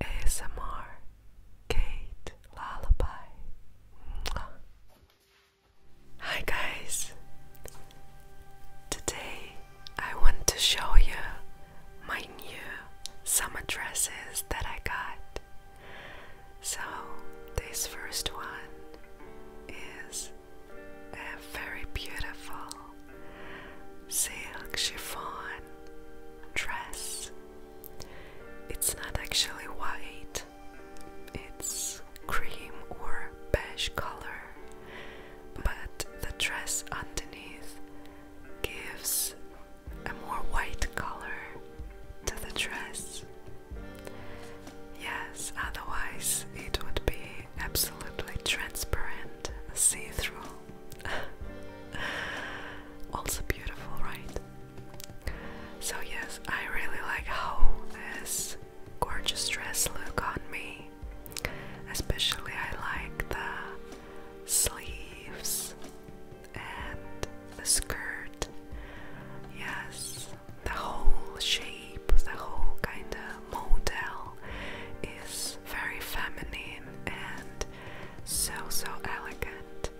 ASMR Kate Lullaby. Hi, guys. Today I want to show you my new summer dresses that I got. So, this first one is a very beautiful silk chiffon dress. It's not actually white, it's cream or beige color, but the dress underneath gives a more white color to the dress. Yes, otherwise it would be absolutely transparent, see through. also beautiful, right? So, yes, I really like how this gorgeous dress look on me. Especially, I like the sleeves and the skirt. Yes, the whole shape, the whole kind of model is very feminine and so so elegant.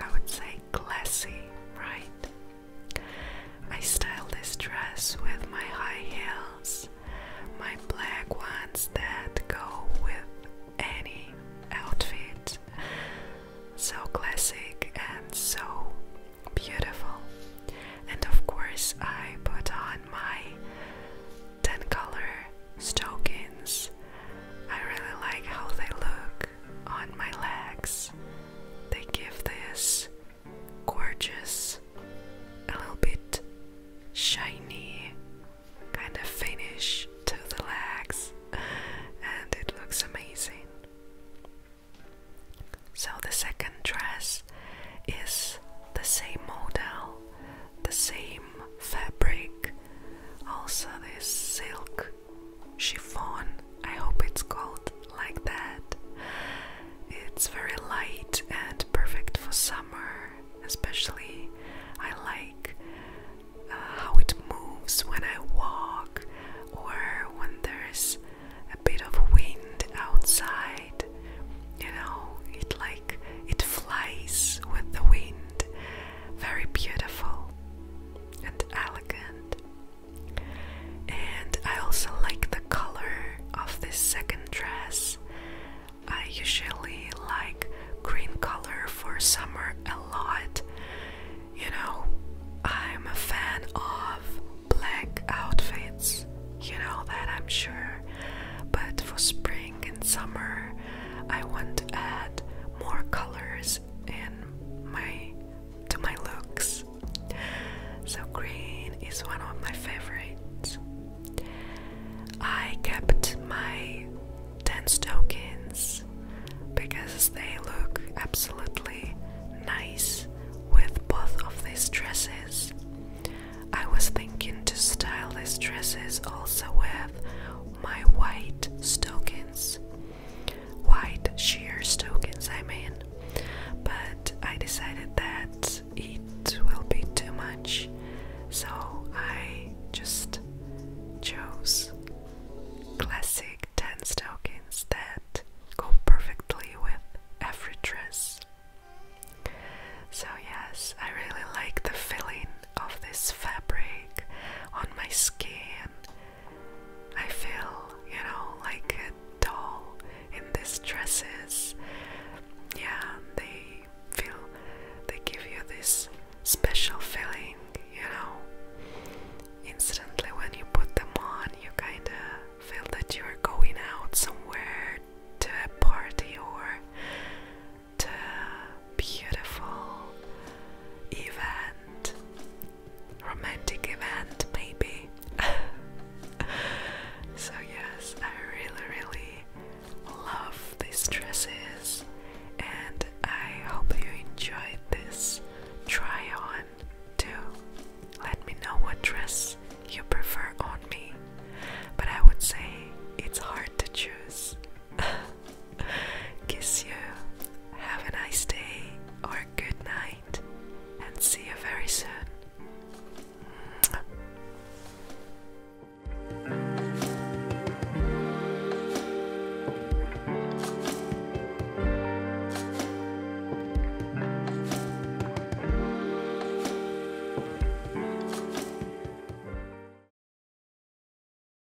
I would say classy, right? I style this dress with my high heels, my black ones that go with any outfit so classic and so beautiful. And of course, I put on my 10 color stockings. I really like how they look on my legs. They give this gorgeous, a little bit shiny kind of finish to the legs, and it looks amazing. So, the second dress is the same model, the same fabric, also this silk chiffon. I hope it's called like that. It's very light and perfect for summer, especially. I like how it moves when I walk or when there's a bit of wind outside. You know, it like it flies with the wind. Very beautiful and elegant. And I also like the color of this second dress. I usually like green color for summer a lot. You know, I'm a fan of black outfits, you know that I'm sure. But for spring and summer, I want to add more colors in my to my looks. So green is one of my favorites. I kept my dance tokens because they look absolutely nice with both of these dresses. I was thinking to style these dresses also with my white stockings, white sheer tokens, I mean, but I decided that it will be too much, so I just chose classic tan tokens that go perfectly with every dress. So, yes, I really like the feeling of this fabric on my skin. I feel, you know, like doll in these dresses. Yeah, they feel they give you this special feeling, you know. Instantly, when you put them on, you kind of feel that you're going out somewhere to a party or to a beautiful event romantic event, maybe. so, yes, I really, really love these dresses, and I hope you enjoyed this try on too. Let me know what dress you prefer on me, but I would say it's hard to choose. Kiss you. Have a nice day or good night. And see you very soon.